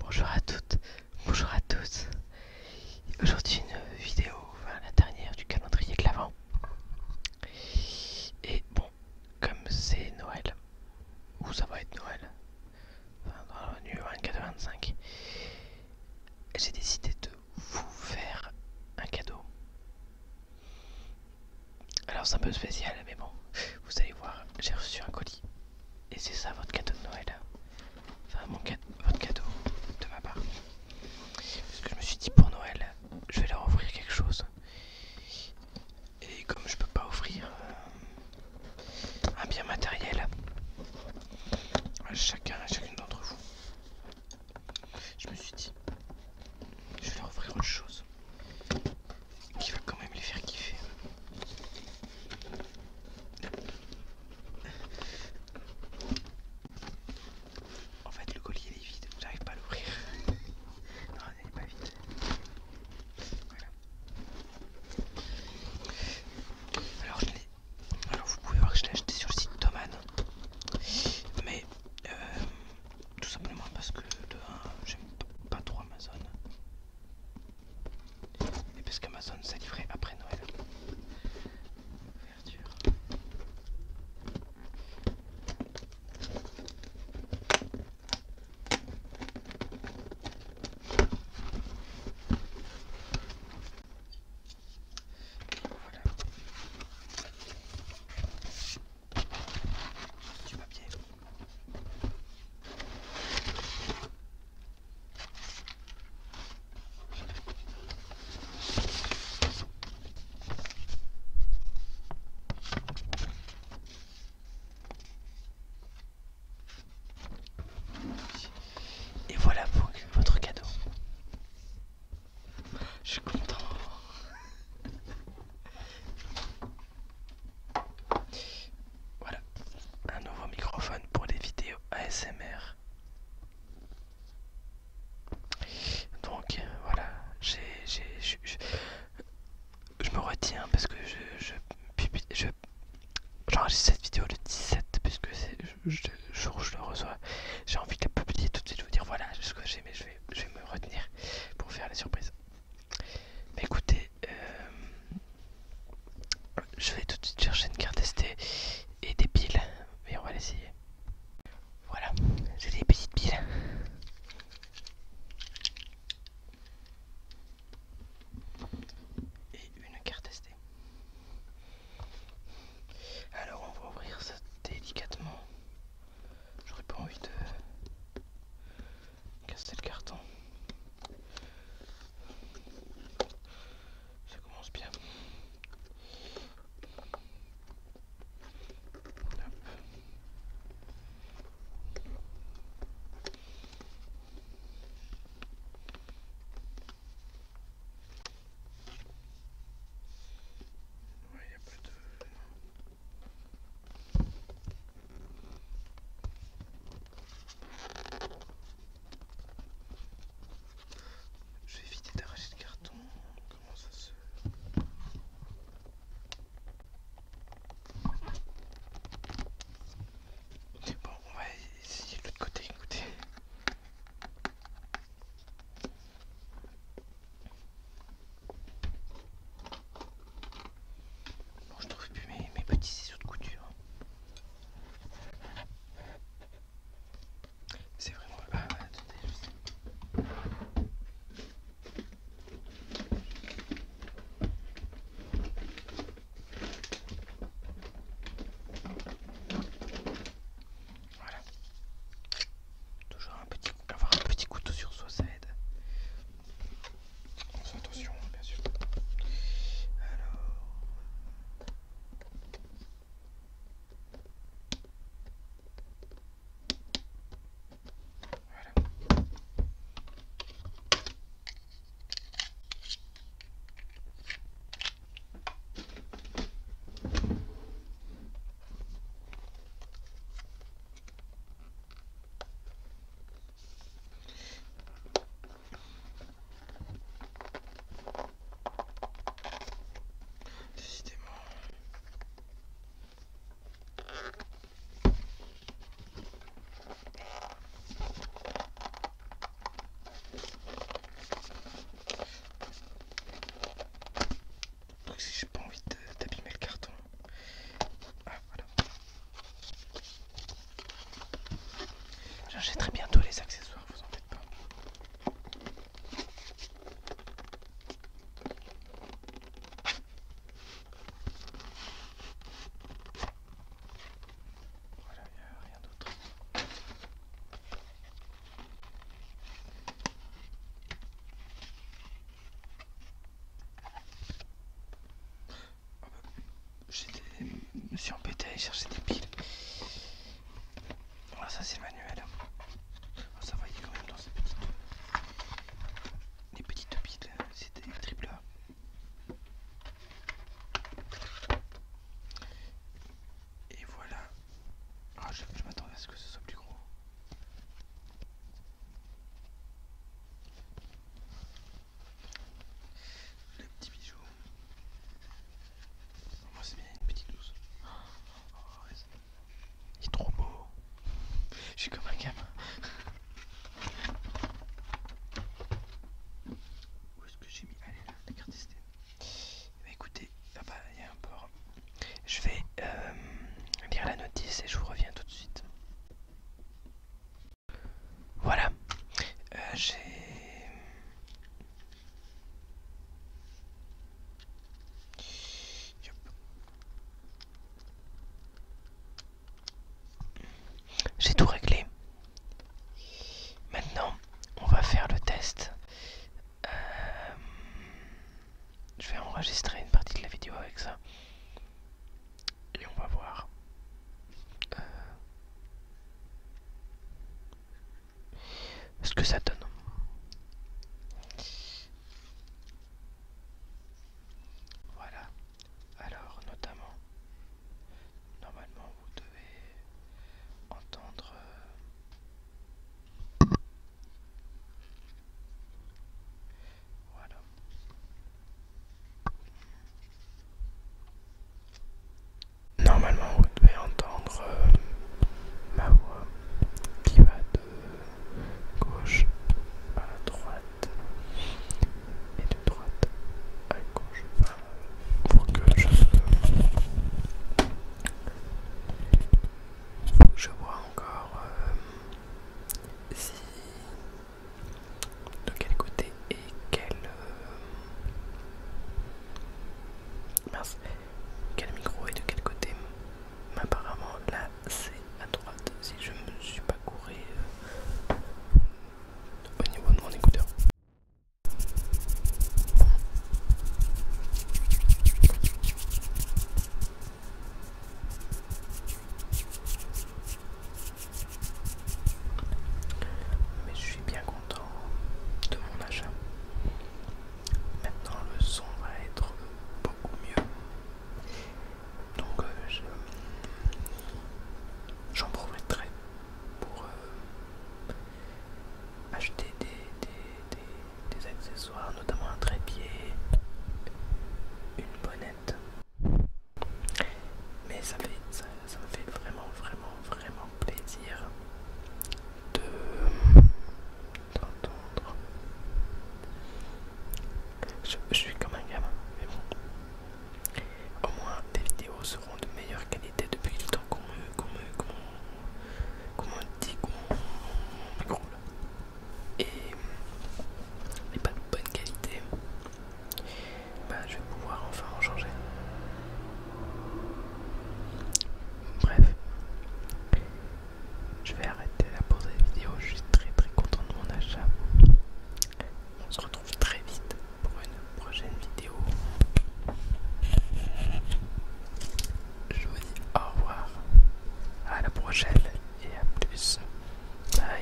Bonjour à toutes, bonjour à tous. Aujourd'hui une vidéo, enfin la dernière du calendrier de Et bon, comme c'est Noël, ou ça va être Noël, enfin dans la 24-25, j'ai décidé de vous faire un cadeau. Alors c'est un peu spécial, mais bon, vous allez voir, j'ai reçu un colis et c'est ça votre cadeau de Noël. Enfin, mon cadeau, votre cadeau de ma part. Parce que je me suis dit pour Noël, je vais leur offrir quelque chose. Et comme je peux pas offrir euh, un bien matériel à chacun à chacune d'entre vous, je me suis dit, je vais leur offrir autre chose qui va quand même les faire kiffer. En fait, le collier il est vide, j'arrive pas à l'ouvrir. Non, pas Alors, vous pouvez voir que je l'ai acheté sur le site Toman, mais euh, tout simplement parce que de j'aime pas trop Amazon. Et parce qu'Amazon s'est livré après Noël. Ouverture. Voilà. Du papier. Et voilà pour votre cadeau. Je suis content. Voilà, un nouveau microphone pour les vidéos ASMR. Donc voilà, j'ai, je, me retiens parce que je, je, je, j'enregistre cette vidéo le 17 puisque c'est le jour où je le reçois. J'ai envie de la publier tout de suite, je vous dire voilà ce que j'ai, mais je vais, je vais me retenir pour faire la surprise. Mais écoutez, euh, je vais tout de suite chercher une carte ST et des piles mais on va l'essayer voilà j'ai des petites piles et une carte ST alors on va ouvrir ça délicatement j'aurais pas envie de Casser le carton. Ça commence bien. Je vais éviter d'arracher le carton. Comment ça se... Ok, bon, on va essayer de l'autre côté, écoutez. Bon, je trouve plus mes, petits ciseaux de couture. C'est vraiment... Ah, attendez, je sais. Voilà. Toujours un petit, avoir un petit couteau sur soi, ça aide. On fait attention, bien sûr. Alors. Voilà. Décidément. Donc si j'ai pas envie d'abîmer le carton. Ah, voilà. J'achèterai bientôt les accessoires, vous en faites pas. Voilà, il a rien d'autre je me suis embêté à aller chercher des piles. Voilà, ah, ça c'est le manuel. Ah, ça va, y quand même dans ces petites, les petites piles, c'était des triple Et voilà. Ah, je m'attendais à ce que ce soit plus gros. Le petit bijou. Moi c'est bien une petite douce. Oh, il est trop beau. Je suis comme un gamin. Où est-ce que j'ai mis Allez là, la carte SD. Eh ben, ah bah écoutez, il y a un port. Je vais euh, lire la notice et je vous reviens tout de suite. Voilà. Euh, j'ai... J'ai tout réglé. Maintenant, on va faire le test. Euh, je vais enregistrer une partie de la vidéo avec ça. Et on va voir. Euh, ce que ça donne. Voilà. Alors, notamment, normalement, vous devez entendre... Euh, voilà. Normalement, vous devez entendre euh, ma voix qui va de gauche à droite et de droite à gauche pour que je faut je vois encore euh, si de quel côté et quel euh, quel micro est de quel côté apparemment là c'est à droite si je me suis pas couré euh, au niveau de mon écouteur mais je suis bien content de mon achat. Maintenant le son va être beaucoup mieux. Donc euh, j'en profiterai pour euh, acheter des, des, des accessoires, notamment un trépied, une bonnette. Mais ça fait, ça ça, me fait vraiment, vraiment, vraiment plaisir de t'entendre Je, suis comme un gamin, mais bon. Au moins, les vidéos seront de meilleure qualité depuis le temps qu'on me, qu'on me, qu'on me, dit, qu'on m'écroule et pas de bonne qualité bah, je vais pouvoir enfin en changer. Bref, je vais arrêter la de la vidéo. Je suis très très content de mon achat. On se retrouve très vite pour une prochaine vidéo. Je vous dis au revoir, à la prochaine et à plus. Bye.